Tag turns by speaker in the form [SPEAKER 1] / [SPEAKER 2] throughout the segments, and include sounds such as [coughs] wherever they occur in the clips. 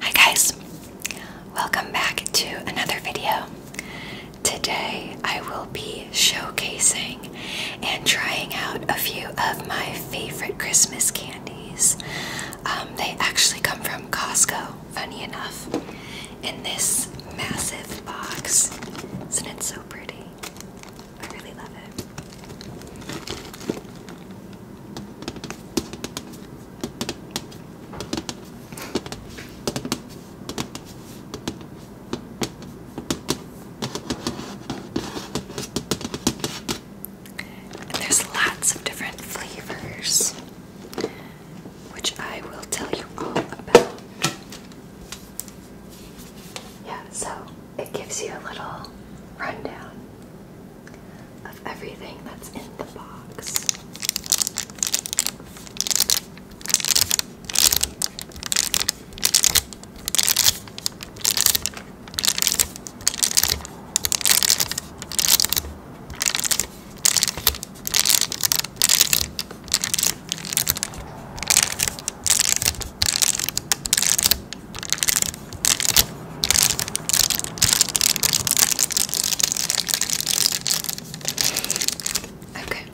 [SPEAKER 1] Hi guys, welcome back to another video. Today I will be showcasing and trying out a few of my favorite Christmas candies. Um, they actually come from Costco, funny enough, in this massive box. Isn't it so pretty? I really love it. there's lots of different flavors, which I will tell you all about yeah, so it gives you a little rundown of everything that's in the box. Okay.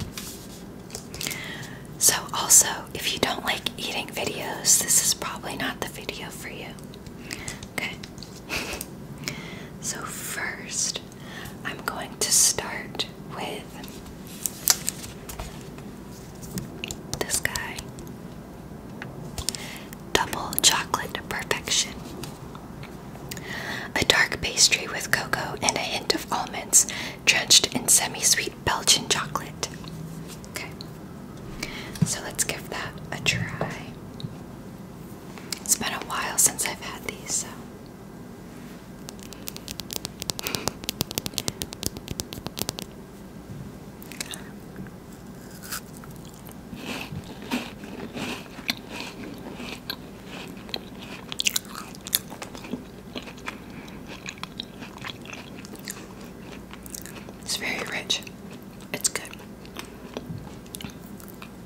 [SPEAKER 1] So, also, if you don't like eating videos, this is probably not the video for you. Okay. [laughs] so, first, I'm going to start with this guy Double Chocolate Perfection. A dark pastry with cocoa and a hint of almonds drenched in semi sweet Belgian chocolate. Okay, so let's give that a try. It's been a while since I've had these, so. It's very rich. It's good. Okay.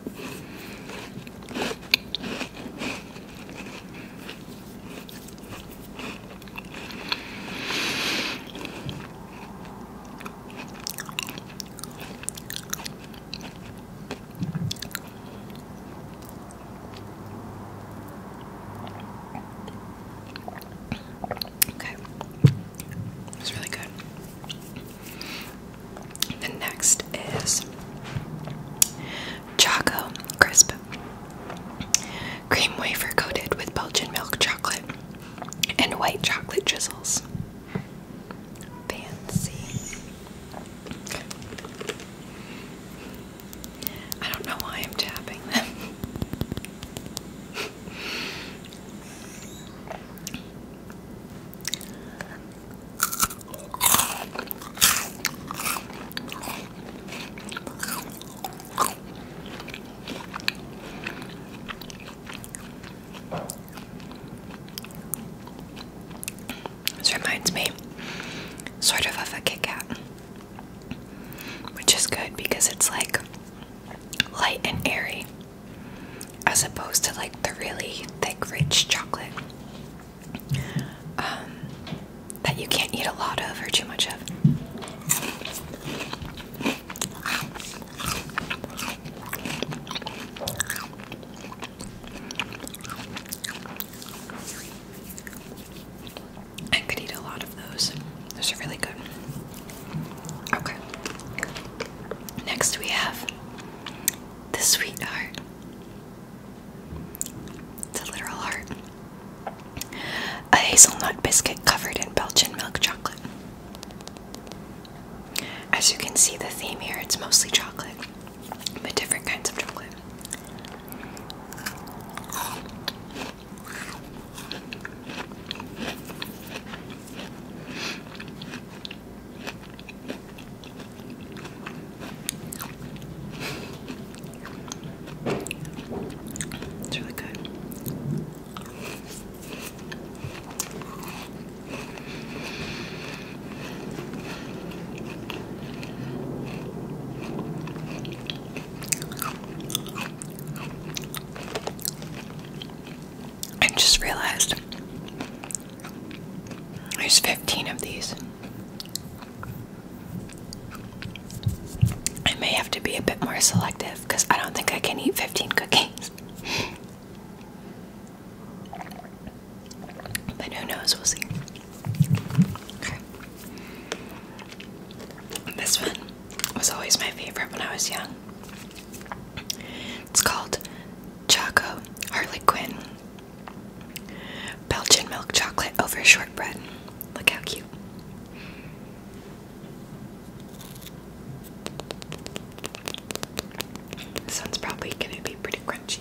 [SPEAKER 1] It's really good. The next is Choco Crisp. Cream wafer coated with Belgian milk chocolate and white chocolate drizzles. Fancy. I don't know why I'm tapping them. This reminds me sort of of a Kit Kat, which is good because it's like light and airy as opposed to like the really thick, rich chocolate. Um, that you can't eat a lot of or too much of. I could eat a lot of those. Those are really good. Okay. Next we have the sweetheart. It's a literal heart. A hazelnut biscuit covered in Belgian milk chocolate. As you can see, the theme here it's mostly chocolate, but different kinds of chocolate. It's really good. I just realized there's 15 of these. I may have to be a bit more selective because I don't think I can eat 15 cookies. [laughs] but who knows? We'll see. This one was always my favorite when I was young. It's called Choco, Harley Quinn, Belgian milk chocolate over shortbread. Look how cute. This one's probably going to be pretty crunchy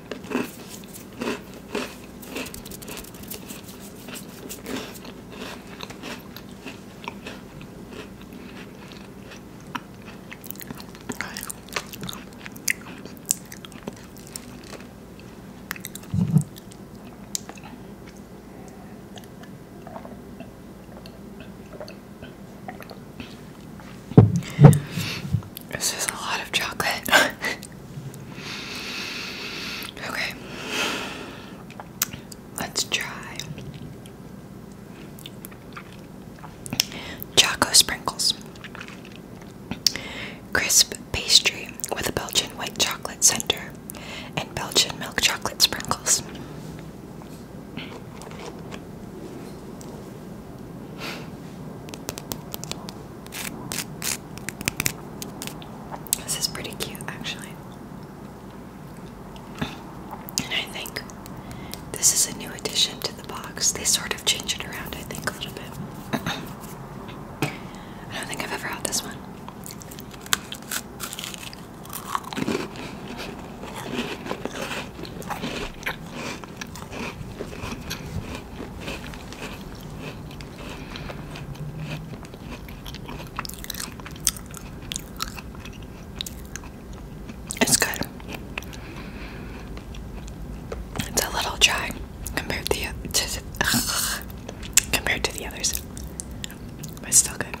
[SPEAKER 1] This is a lot of chocolate. [laughs] Okay. Let's try Choco sprinkles. Crisp pastry with a Belgian white chocolate center and Belgian milk chocolate sprinkles. This is pretty cute, actually. And I think this is a new addition to the box. They sort of change it around, I think, a little bit. [clears throat] I don't think I've ever had this one. It's good. It's a little dry compared to the compared to the others, but still good.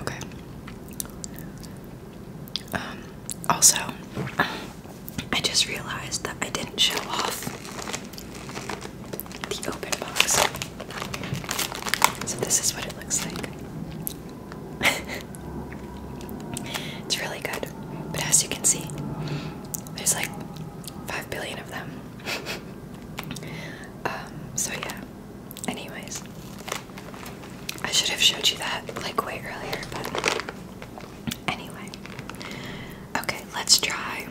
[SPEAKER 1] Okay. Um, also, I just realized that I didn't show off the open box. So, this is what it looks like. [laughs] it's really good, but as you can see, there's like five billion of them. [laughs] Um, so, yeah, anyways, I should have showed you that like way earlier, but anyway. Okay, let's try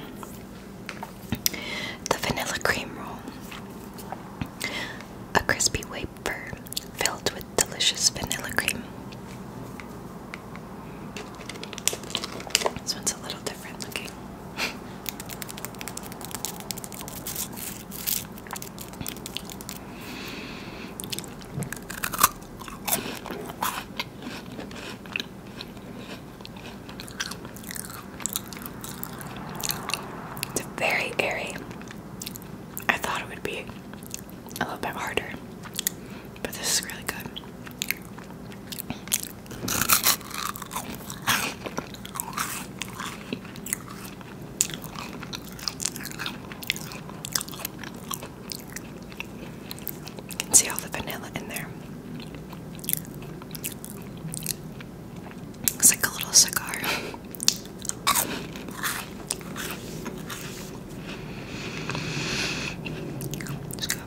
[SPEAKER 1] the vanilla cream roll. A crispy wafer filled with delicious vanilla cream. This one's a little different looking. [laughs] It's very airy. I thought it would be a little bit harder, but this is really good. You can see all the vanilla in there. It's like a little cigar. Let's go.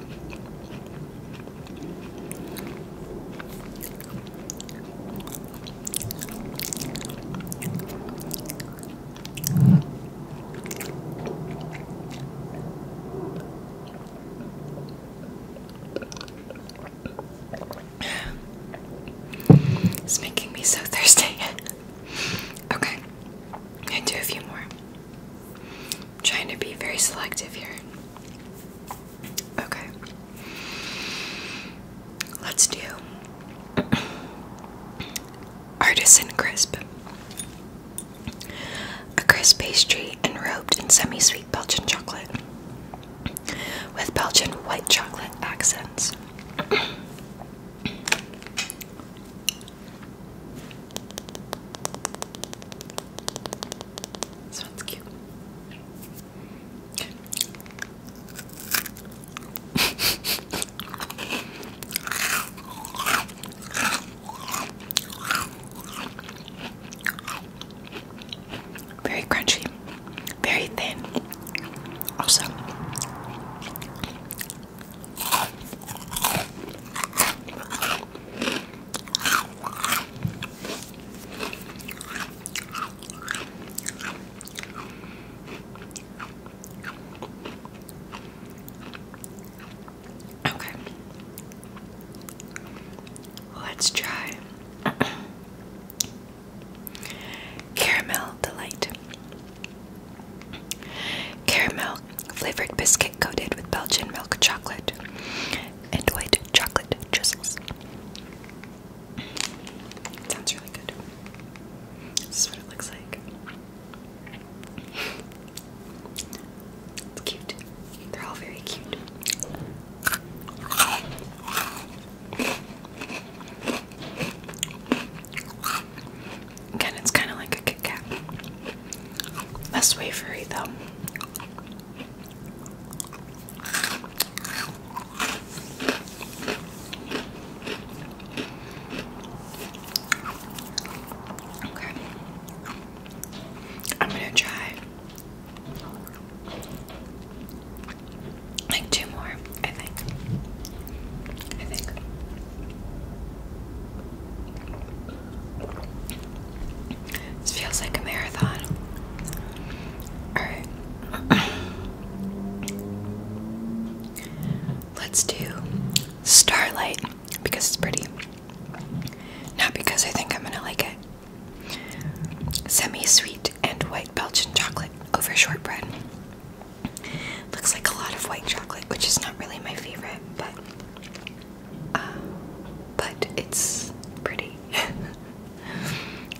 [SPEAKER 1] It's making me so [laughs] thirsty. okay, I do a few more. am trying to be very selective here. Okay. Let's do artisan crisp. A crisp pastry enrobed in semi-sweet Belgian chocolate with Belgian white chocolate accents. Sounds cute. Very crunchy, very thin. Also, Okay. Let's try [clears throat] Caramel Delight. Caramel flavored biscuit coated with Belgian milk chocolate and white chocolate drizzles sounds really good. This is what it looks like. It's cute. They're all very cute. Again, it's kind of like a Kit Less wafery, though. Okay. I'm gonna try like two more, I think. I think. This feels like a marathon. Alright. [coughs] Let's do Starlight because it's pretty. Not because I think I'm gonna like it. Semi sweet and white Belgian chocolate over shortbread. Looks like a lot of white chocolate, which is not really my favorite, but. Uh, but it's pretty. [laughs]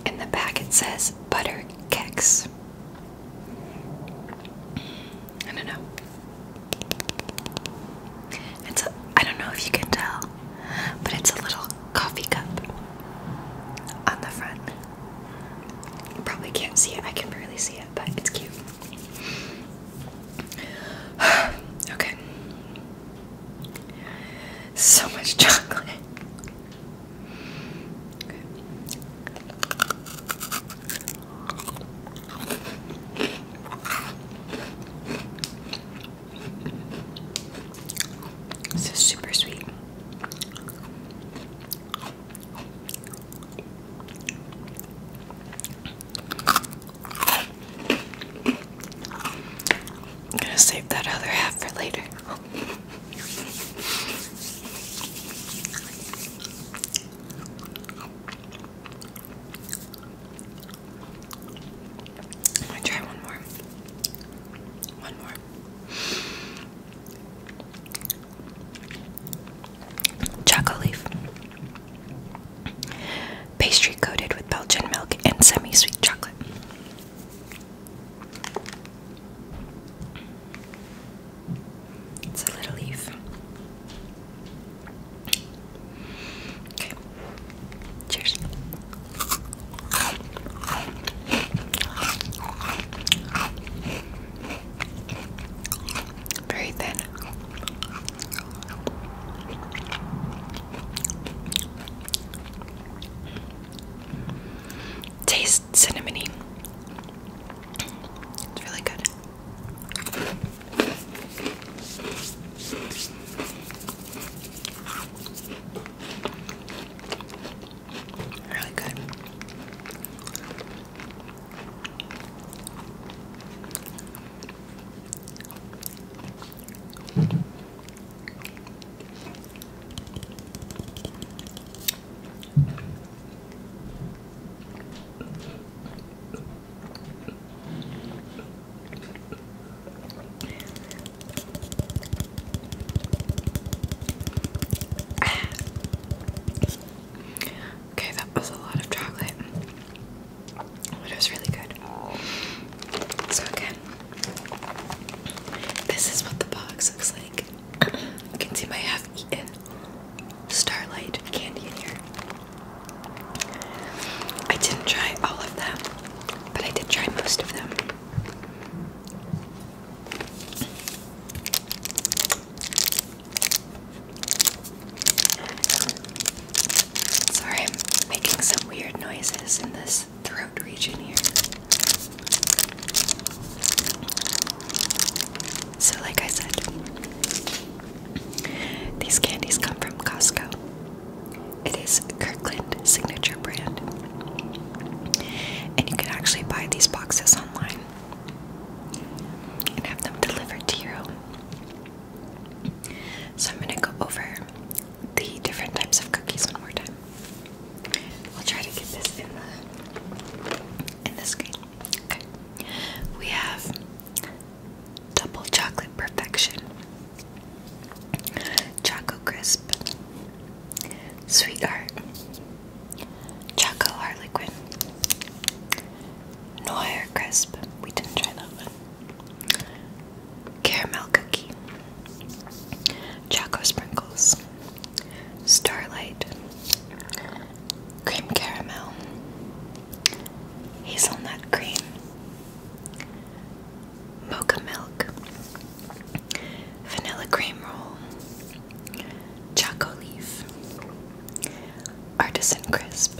[SPEAKER 1] In the back it says butter keks. I don't know. It's a, I don't know if you can tell, but it's a little coffee cup on the front. You probably can't see it. I can barely see it, but it's cute. [sighs] okay. So much chocolate. This is super sweet. I'm gonna save that other half for later. i try one more. One more. Chocolate leaf pastry coated with Belgian milk and semi sweet chocolate. It's a little leaf. Okay. Cheers. Very thin. Tastes cinnamony. It's really good. Really good. Okay, that was a lot of chocolate but it was really good. So again, this is what the box looks like. you can see my half-eaten Starlight candy in here. I didn't try all of them, but I did try most of them. Sorry, I'm making some weird noises in this throat region here. So, like I said, these candies come from Costco. It is Kirkland Signature brand. And you can actually buy these boxes online and have them delivered to your home. So I'm going to go over the different types of cookies one more time. We'll try to get this in the in the screen. Okay. We have double chocolate perfection, choco crisp, sweetheart, choco liquid, noire crisp. We didn't try that one. Caramel cookie, Choco sprinkles, Starlight, Cream caramel, Hazelnut cream, Mocha milk, Vanilla cream roll, Choco leaf, Artisan crisp.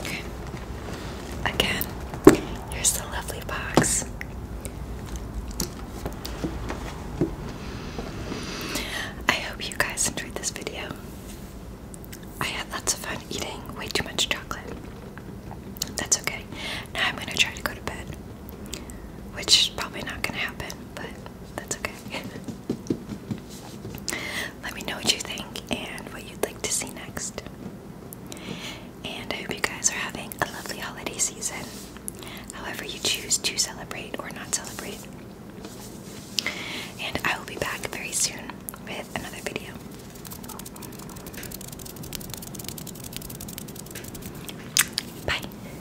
[SPEAKER 1] Okay. Again, here's the lovely box. I hope you guys enjoyed this video. I had lots of fun eating way too much chocolate. That's okay. Now I'm gonna try to go to bed, which is probably not gonna happen, but that's okay. [laughs] Let me know what you think and what you'd like to see next. And I hope you guys are having a lovely holiday season, however, you choose to celebrate or not celebrate. And I will be back very soon with another video. Bye.